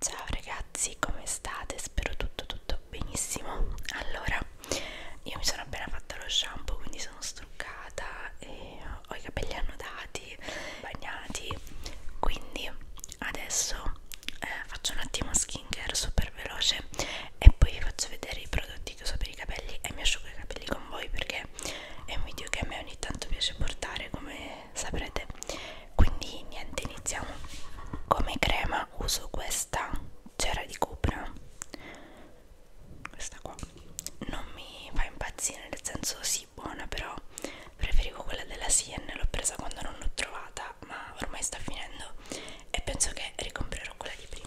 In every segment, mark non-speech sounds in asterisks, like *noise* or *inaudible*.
Ciao ragazzi, come state? Spero tutto tutto benissimo. Allora, io mi sono appena fatta lo shampoo, quindi sono struccata e ho i capelli annodati, bagnati. Quindi adesso eh, faccio un attimo skincare super veloce e poi vi faccio vedere i prodotti che uso per i capelli e mi asciugo i capelli con voi perché è un video che a me ogni tanto piace portare come saprete quindi niente iniziamo come crema uso questa cera di cupra questa qua non mi fa impazzire nel senso sì buona però preferivo quella della Sien l'ho presa quando non l'ho trovata ma ormai sta finendo e penso che ricomprerò quella di prima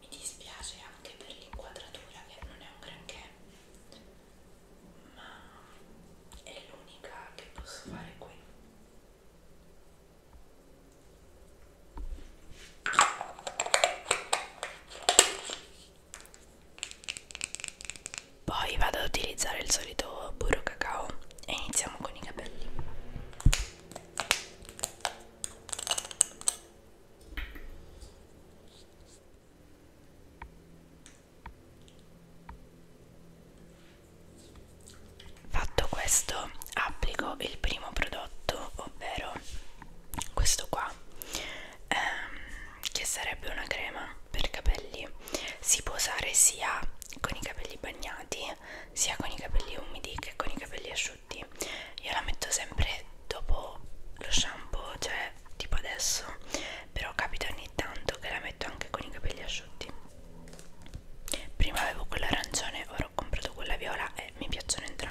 mi dispiace anche per l'inquadratura che non è un granché ma è l'unica che posso fare qui poi vado ad utilizzare il solito burro cacao e iniziamo con i capelli Fatto questo, applico il primo prodotto, ovvero questo qua, ehm, che sarebbe una crema per capelli. Si può usare sia con i capelli bagnati sia con i capelli umidi che con i capelli asciutti io la metto sempre dopo lo shampoo cioè tipo adesso però capita ogni tanto che la metto anche con i capelli asciutti prima avevo quella arancione ora ho comprato quella viola e mi piacciono entrambe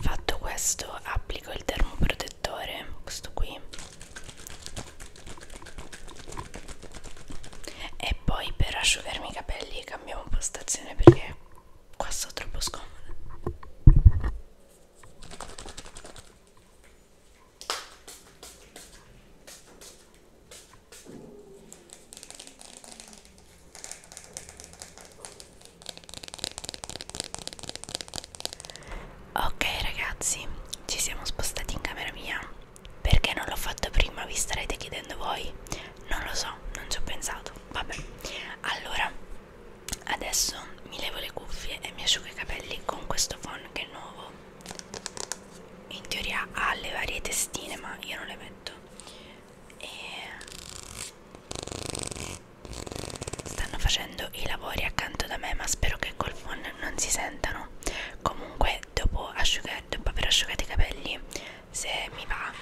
Fatto questo, applico il termoprotettore, questo qui, e poi per asciugarmi i capelli cambiamo postazione perché qua sto troppo scomoda. Ok ragazzi, ci siamo spostati in camera mia. Perché non l'ho fatto prima, vi starete chiedendo voi? Non lo so, non ci ho pensato. Vabbè. Allora, adesso mi levo le cuffie e mi asciugo i capelli con questo phon che è nuovo. In teoria ha le varie testine, ma io non le metto. E Stanno facendo i lavori accanto da me, ma spero che col phone non si sentano. Comunque, dopo, dopo aver asciugato i capelli, se mi va,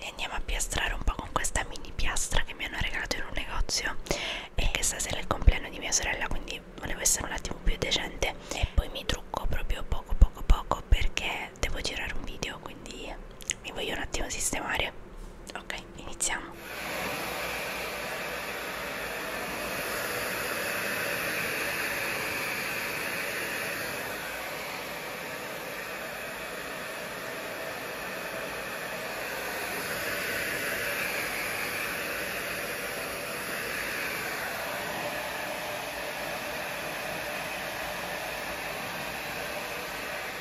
li andiamo a piastrare un po' con questa mini piastra che mi hanno regalato in un negozio. Perché stasera è il compleanno di mia sorella, quindi volevo essere un attimo più decente. E poi mi trucco proprio poco, poco, poco perché perché devo girare un video quindi mi voglio un attimo sistemare ok iniziamo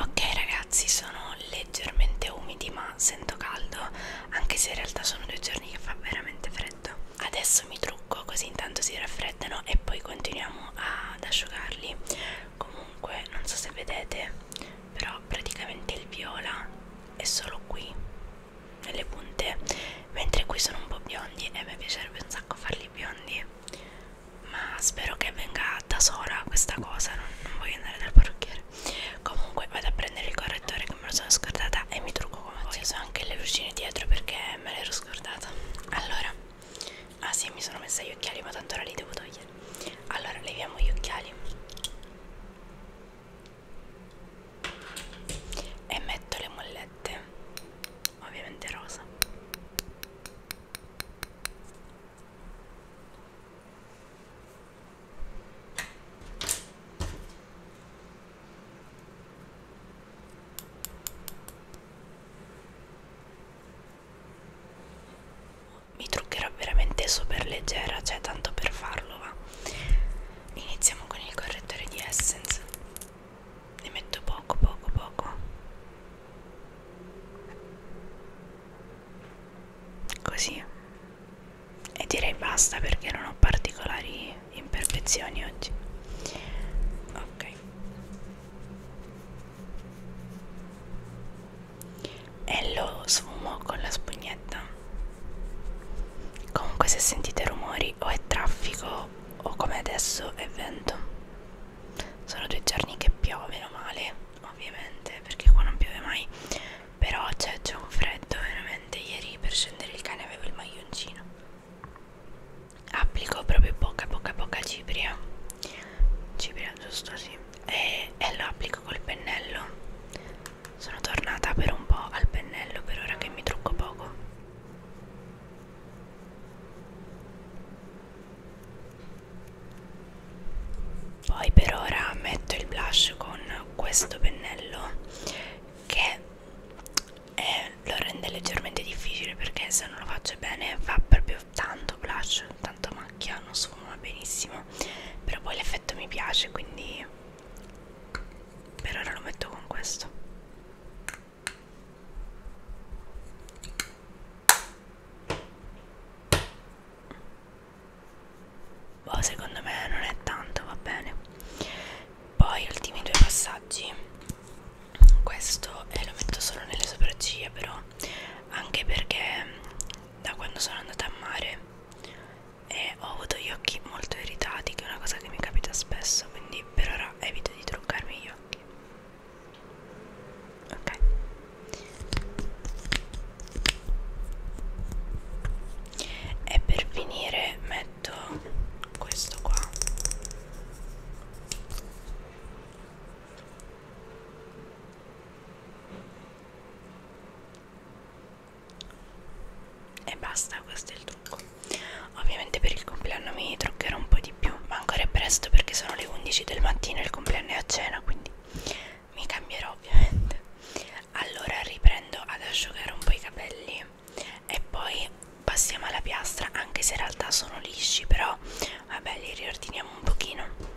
Ok ragazzi sono leggermente umidi ma sento caldo anche se in realtà sono due giorni che fa veramente freddo adesso mi trucco così intanto si raffreddano e poi continuiamo ad asciugarli comunque non so se vedete però praticamente il viola è solo qui nelle punte mentre qui sono un po' biondi e mi piacerebbe un sacco farli biondi ma spero che venga da sola questa cosa non, non voglio andare dal parrucchiere comunque vado a prendere il correttore che me lo sono scordata e mi trucco come voi. Ci sono anche le lucine dietro perché me l'ero scordata allora ah sì mi sono messa gli occhiali ma tanto ora li devo togliere allora leviamo gli occhiali e metto le mollette ovviamente rosa mi truccherò veramente super leggera, cioè tanto per farlo, va. Iniziamo con il correttore di Essence. Ne metto poco, poco, poco. Così. E direi basta perché non ho particolari imperfezioni oggi ok e lo sfumo con la spugnetta comunque se sentite rumori o è traffico o come adesso è vento sono due giorni che piove meno male ovviamente perché qua non piove mai però cioè, c'è un freddo veramente ieri per scendere il cane avevo il maglioncino applico proprio poca poca poca cipria cipria giusto sì e, e lo applico col pennello sono tornata per un po' al pennello per ora che mi trucco poco poi per ora metto il blush con questo pennello che e eh, lo rende leggermente difficile perché se non lo faccio bene fa proprio tanto blush, tanto macchia, non sfuma benissimo però poi l'effetto mi piace quindi per ora lo metto con questo boh secondo me non è tanto va bene poi ultimi due passaggi questo eh, lo metto solo nelle sopracciglia però anche perché mm, da quando sono andata a mare eh, ho avuto gli occhi molto irritati che è una cosa che mi capita spesso quindi per ora evito di truccarmi gli occhi ok e per finire metto metto questo qua e basta questo è il trucco ovviamente per il compleanno mi truccherò un po' di più ma ancora è presto perché sono le 11 del mattino e il compleanno è a cena quindi mi cambierò ovviamente allora riprendo ad asciugare un po' i capelli e poi passiamo alla piastra anche se in realtà sono lisci però vabbè li riordiniamo un pochino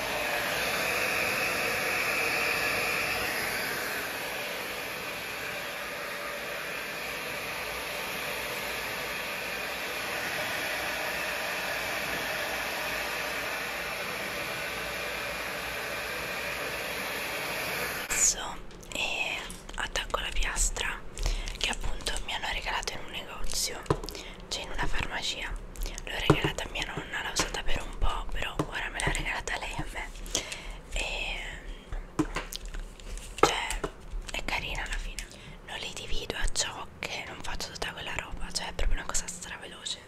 e attacco la piastra che appunto mi hanno regalato in un negozio c'è cioè, in una farmacia l'ho regalata a mia nonna l'ho usata per un po' però ora me l'ha regalata lei a me e cioè è carina alla fine non li divido a ciò che non faccio tutta quella roba cioè è proprio una cosa straveloce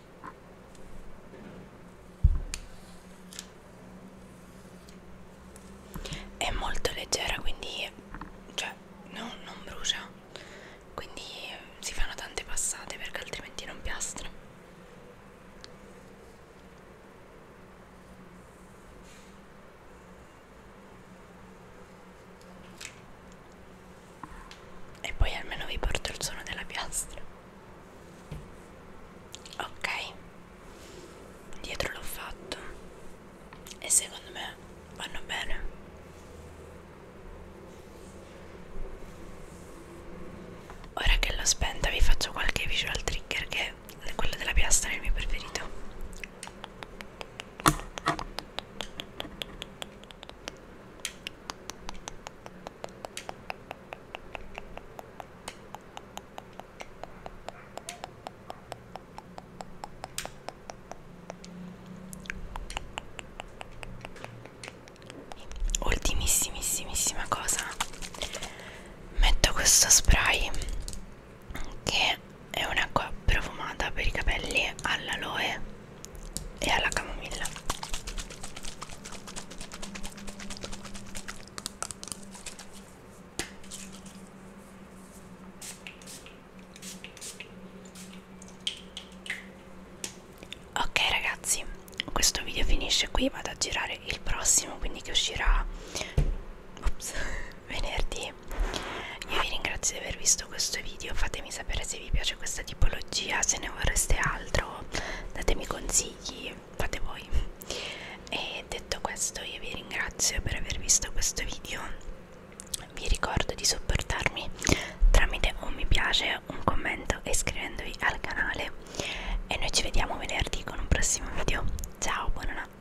è molto leggera quindi cioè no, non brucia quindi si fanno tante passate perché altrimenti non piastra e poi almeno vi porto il suono della piastra ok dietro l'ho fatto e secondo me vanno bene ora che l'ho spenta vi faccio qualche visual trigger che quello della piastra è il mio preferito ultimissimissima cosa metto questo spray che è un'acqua profumata per i capelli all'aloe e alla camomilla ok ragazzi questo video finisce qui vado a girare il prossimo quindi che uscirà ops, *laughs* venerdì io vi ringrazio di aver visto questo video fatemi sapere se se vi piace questa tipologia se ne vorreste altro datemi consigli fate voi e detto questo io vi ringrazio per aver visto questo video vi ricordo di supportarmi tramite un mi piace un commento e iscrivendovi al canale e noi ci vediamo venerdì con un prossimo video ciao buonanotte